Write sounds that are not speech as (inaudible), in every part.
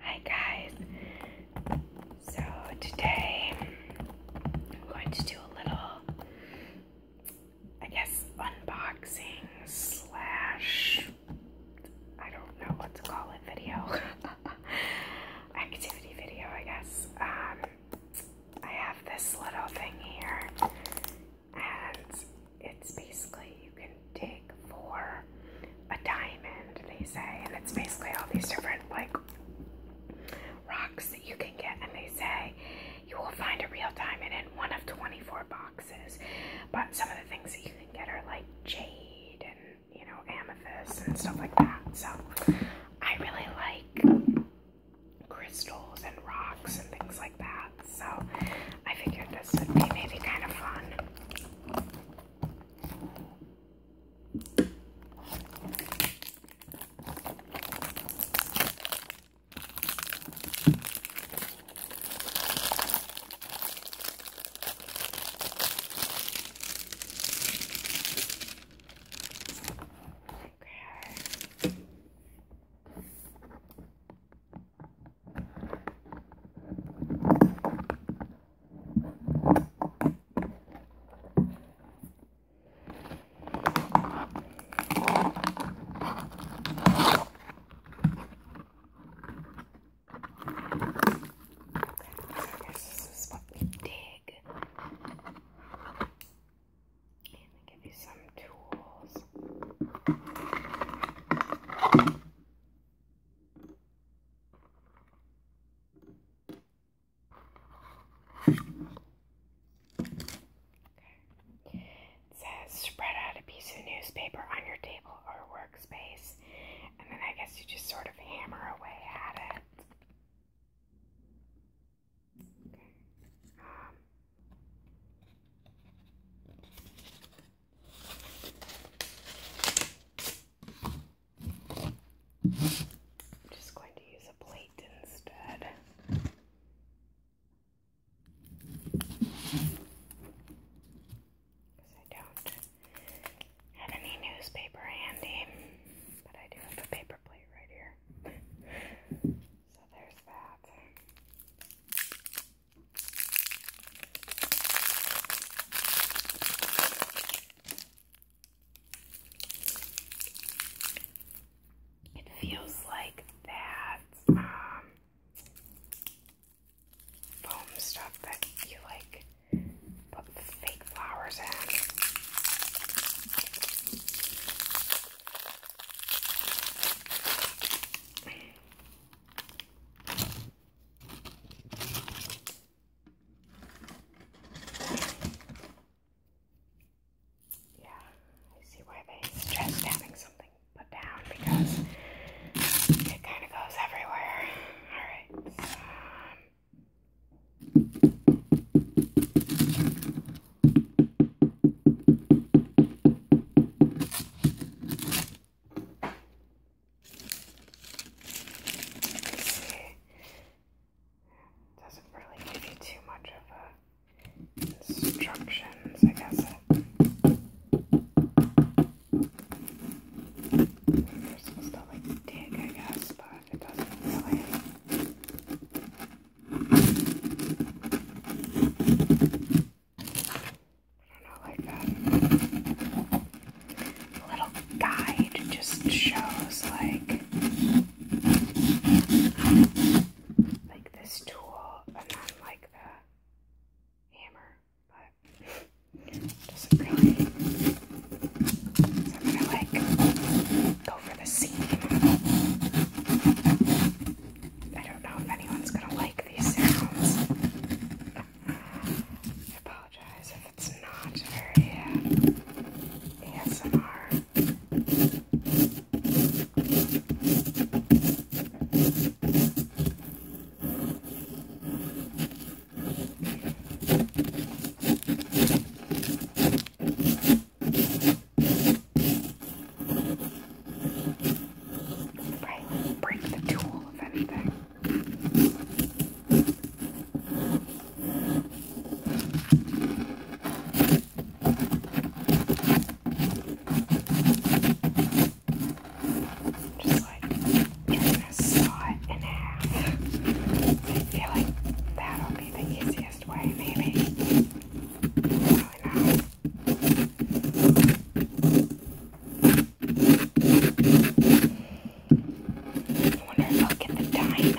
Hi guys. So today I'm going to do a little, I guess, unboxing slash I don't know what to call it video (laughs) activity video, I guess. Um, I have this little thing here, and it's basically you can dig for a diamond, they say, and it's basically all these different like rocks that you can get, and they say you will find a real diamond in one of 24 boxes. But some of the things that you can get are like jade and you know amethyst and stuff like that. So I really like crystals and rocks and things like that. So I figured this would be maybe kind of fun. Okay. This is what we dig. And they give you some tools. Okay. It says spread out a piece of newspaper on your table or workspace, and then I guess you just sort of hammer away at it. I'm just going to use a plate instead. Because I don't have any newspaper handy, but I do have a paper plate right here. So there's that. It feels like that um, foam stuff that you like put fake flowers in. Yeah, I see why they stress having something put down because it kind of goes everywhere. Alright, um, doesn't really give you too much of a instructions, I guess. you supposed to like dig, I guess, but it doesn't really know, like a little guide just shows like like this tool and then like the hammer, but it doesn't really I'm gonna like go for the seam. I don't know if anyone's gonna like these sounds. I apologize if it's not very uh, ASMR. Right, break the tool if anything. Just just like you're gonna saw it in half. I feel like that'll be the easiest way, maybe. Probably not. I wonder if I'll get the diamond.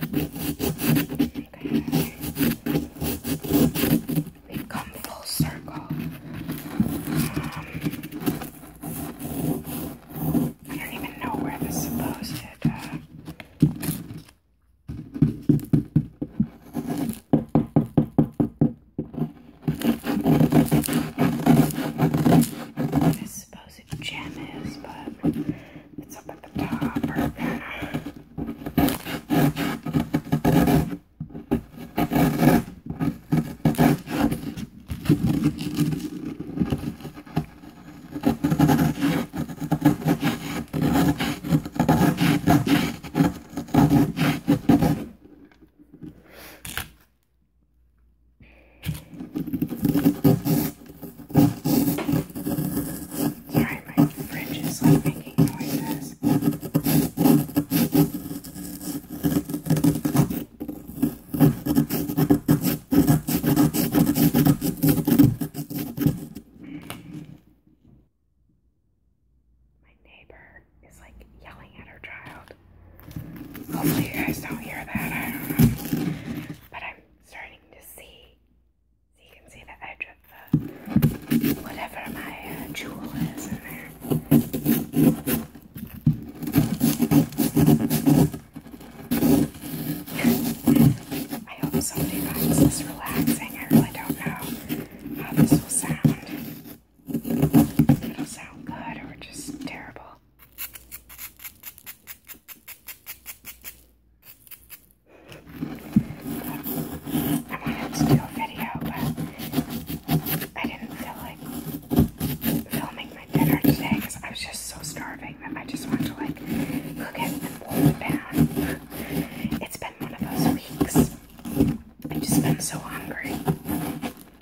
We've come full circle. Um, I don't even know where this is supposed to. Uh, this suppose a gem is, but it's up at the top. Or, Sorry, my fridge is like making noises. My neighbor is like yelling at her child. Hopefully, you guys don't hear that. I don't know. But I'm starting to see. you can see the edge of the whatever my uh, jewel is in there. I hope somebody finds this relaxing. I really don't know how this will sound. It'll sound good or just terrible. I wanted to do a video, but I didn't feel like filming my dinner today because I was just so starving that I just wanted to like cook it and boil it down. It's been one of those weeks. I've just been so hungry.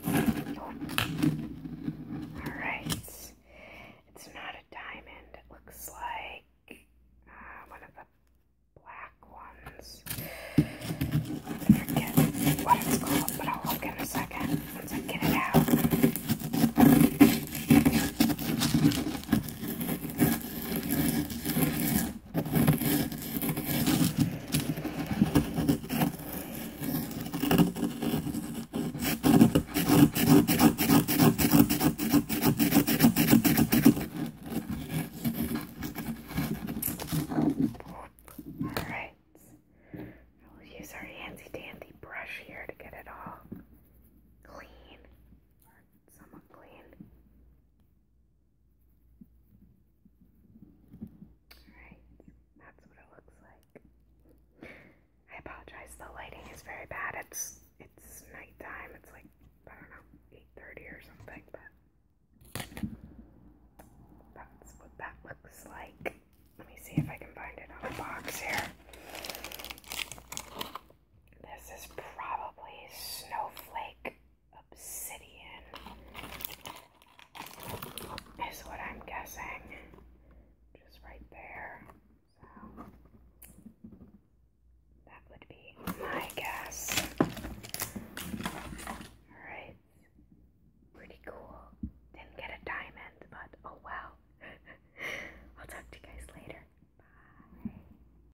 Alright. It's not a diamond. It looks like uh, one of the black ones. forget what it's called, but I'll look in a second once I get it out. Alright. We'll use our handy dandy brush here to get it all clean or clean. Alright, that's what it looks like. I apologize, the lighting is very bad. It's it's nighttime, it's like I don't know, 8.30 or something, but that's what that looks like. Let me see if I can find it on a box here. This is probably snowflake obsidian is what I'm guessing. Just right there. So that would be my guess. Alright. Pretty cool. Didn't get a diamond, but oh well. (laughs) I'll talk to you guys later. Bye.